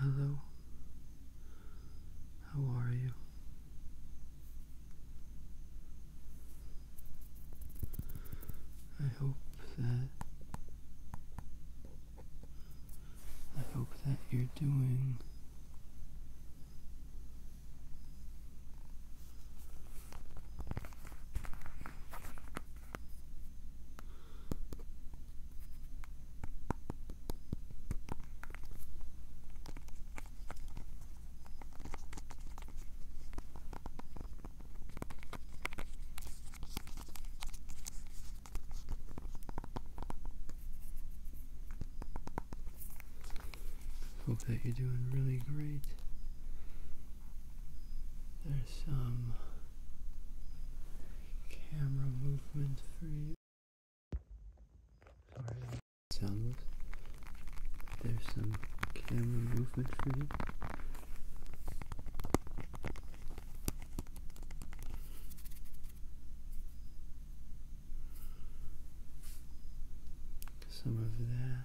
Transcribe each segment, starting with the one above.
Hello. How are you? I hope that I hope that you're doing Hope that you're doing really great. There's some camera movement free. Sorry, sound There's some camera movement free. Some of that.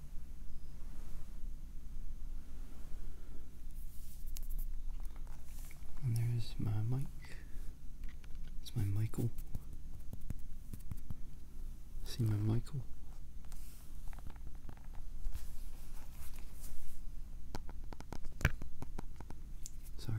And there's my Mike. It's my Michael. See my Michael. Sorry.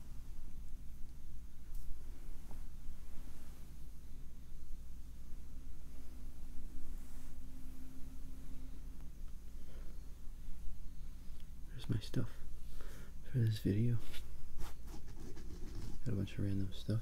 There's my stuff for this video. Got a bunch of random stuff.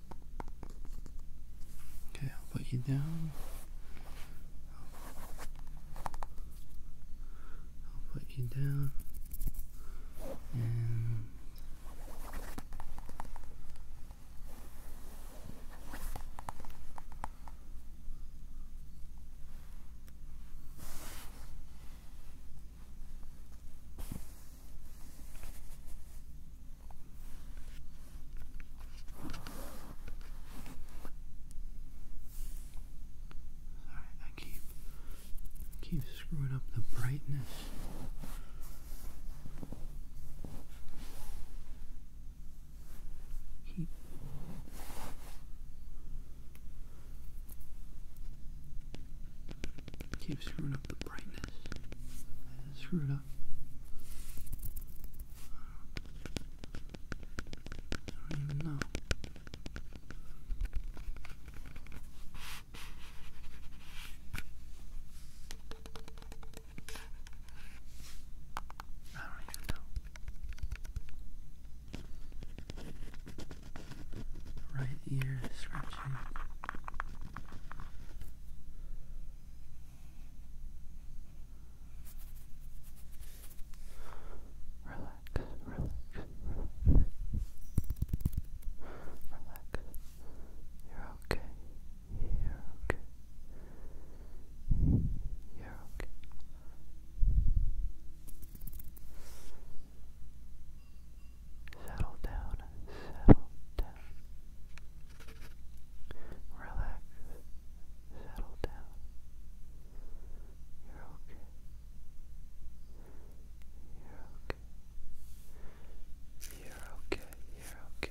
Okay, I'll put you down. I'll put you down. And Sorry, I keep keep screwing up the brightness. Keep keep screwing up brightness. screwed up. I don't even know. I don't even know. Right ear scratching. Relax, relax, relax. You're okay. You're okay. You're okay. Settle down, settle down, down. Relax. Settle down. You're okay. You're okay. You're okay. You're okay.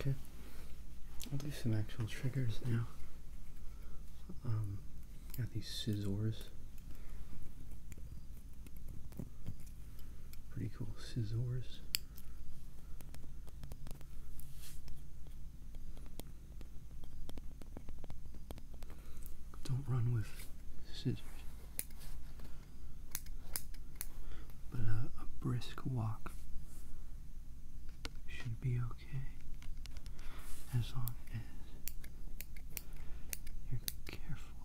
Okay, I'll do some actual triggers now. Um, got these scissors. Pretty cool scissors. Don't run with scissors, but a, brisk walk should be okay as long as you're careful.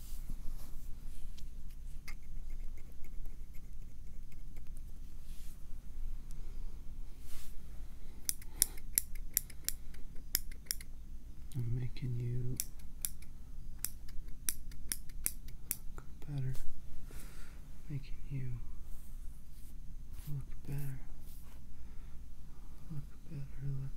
I'm making you look better, making you look better, look better, look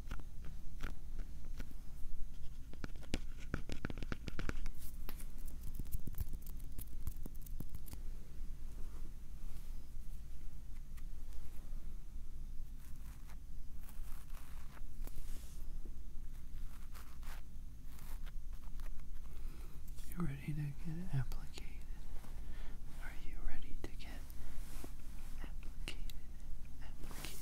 You're ready to get applicated. Are you ready to get applicated?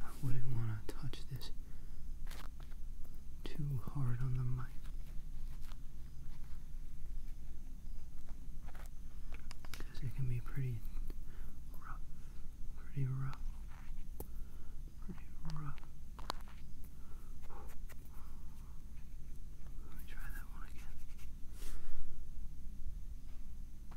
I wouldn't want to touch this too hard on the mic. Because it can be pretty rough. Pretty rough. Pretty rough. Let me try that one again.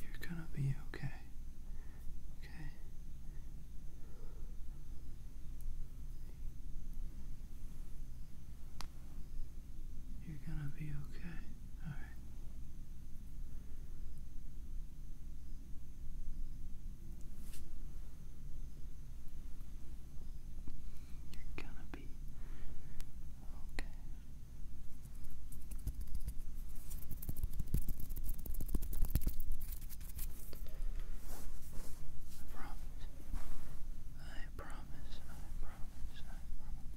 You're gonna be okay. Okay. You're gonna be okay. All right. You're gonna be okay. I promise. I promise. I promise.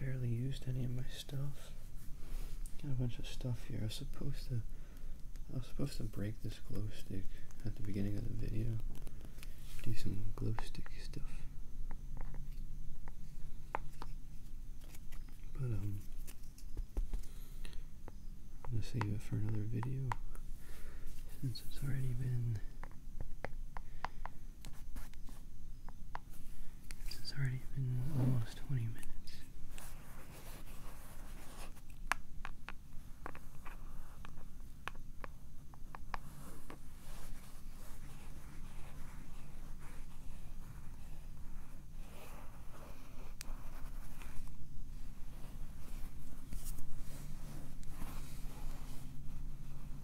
Barely used any of my stuff. Got a bunch of stuff here. I was supposed to I was supposed to break this glow stick at the beginning of the video. Do some glow stick stuff. But um I'm gonna save it for another video since it's already been it's already been almost 20 minutes.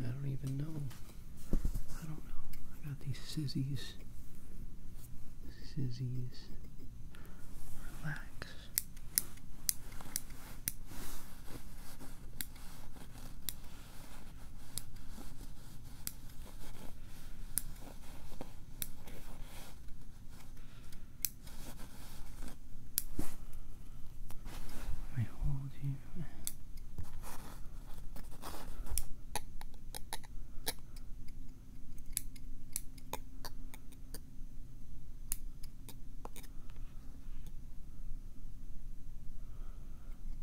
I don't even know. I don't know. I got these sizzies. Sizzies. Relax. I hold you.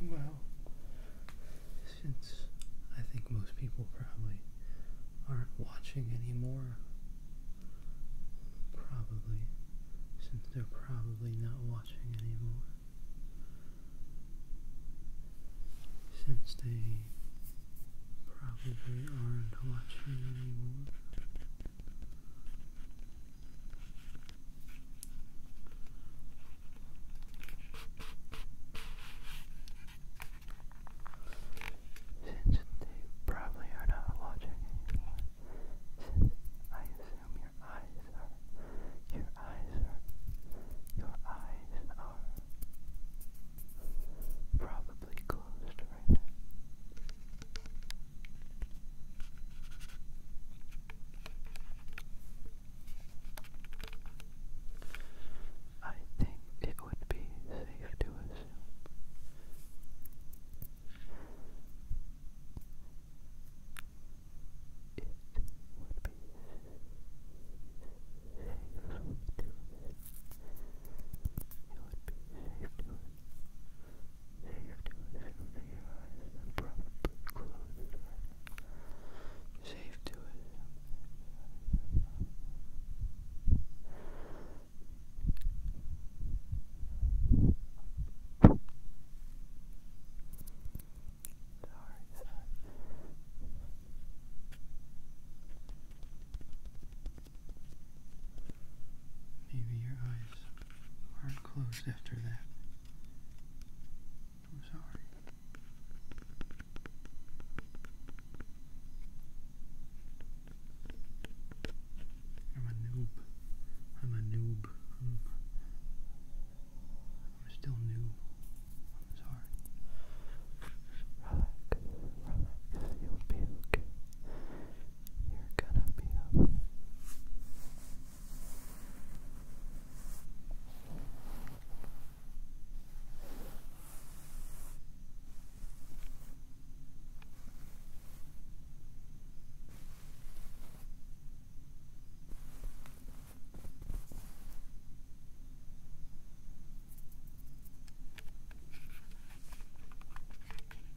Well, since I think most people probably aren't watching anymore, probably, since they're probably not watching anymore, since they probably aren't watching anymore. Since they probably are not watching anymore, since I assume your eyes are, your eyes are, your eyes are probably closed right now. I think it would be safe to assume it would be safe to assume it would be safe to assume Safe to assume your eyes are probably closed Safe to assume Sorry, sorry. Maybe your eyes aren't closed after that. I'm sorry. I'm a noob. I'm a noob. I'm, still new. I'm sorry. Relax, relax, you'll be okay. You're gonna be okay.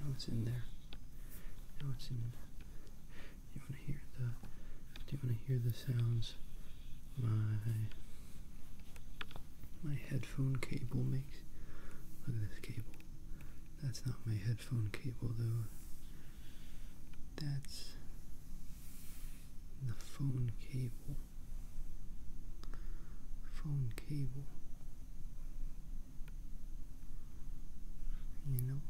Now it's in there. Now it's in. there. Do you want to hear the? Do you want to hear the sounds? My my headphone cable makes. Look at this cable. That's not my headphone cable though. That's the phone cable. Phone cable. You know,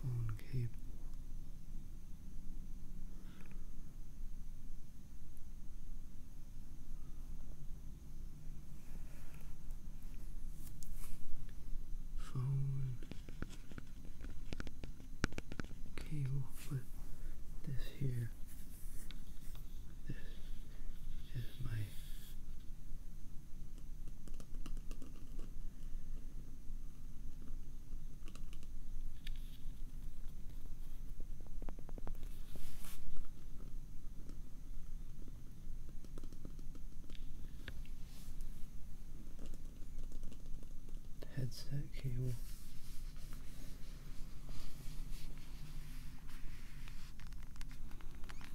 phone cable. Phone cable, but this here, this is my headset cable.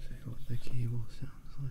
See what the cable sounds like.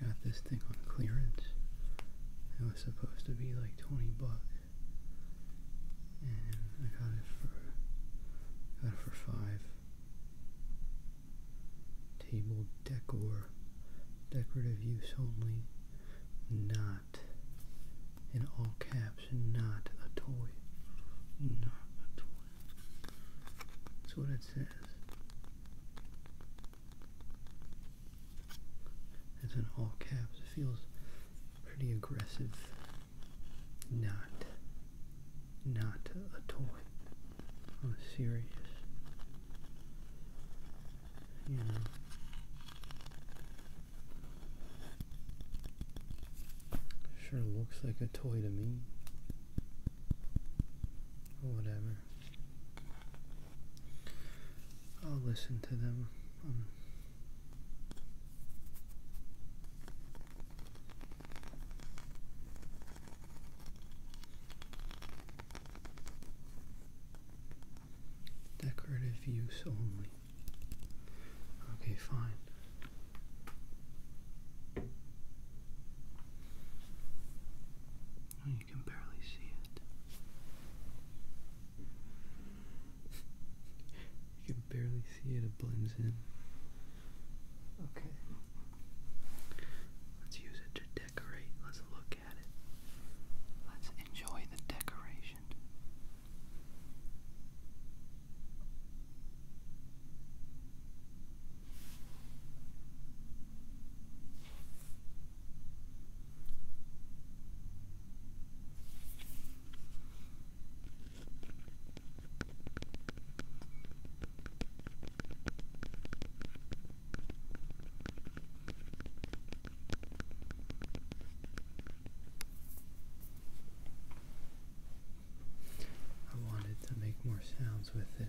I got this thing on clearance. It was supposed to be like 20 bucks. And I got it for got it for five. Table decor. Decorative use only. Not in all caps, not a toy. Not a toy. That's what it says. It's in all caps. It feels pretty aggressive. Not, not a toy. I'm serious. You know. Sure looks like a toy to me. Whatever. I'll listen to them. Um, decorative use only. Okay, fine you can barely see it. You can barely see it, it blends in. Okay. Let's use it to decorate. Let's look at it. Let's enjoy the decoration. I wanted to make more sounds with it.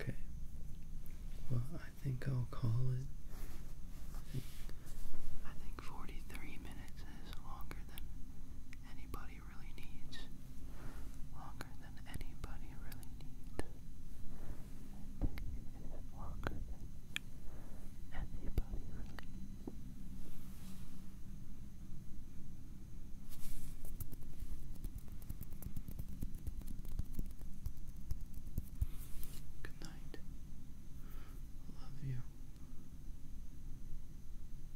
Okay. Well, I think I'll call it. I think, 43 minutes is longer than anybody really needs, longer than anybody really needs. longer anybody really Good night. Love you.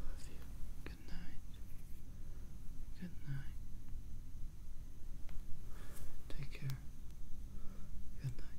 Love you. Good night. Good night. Take care. Good night.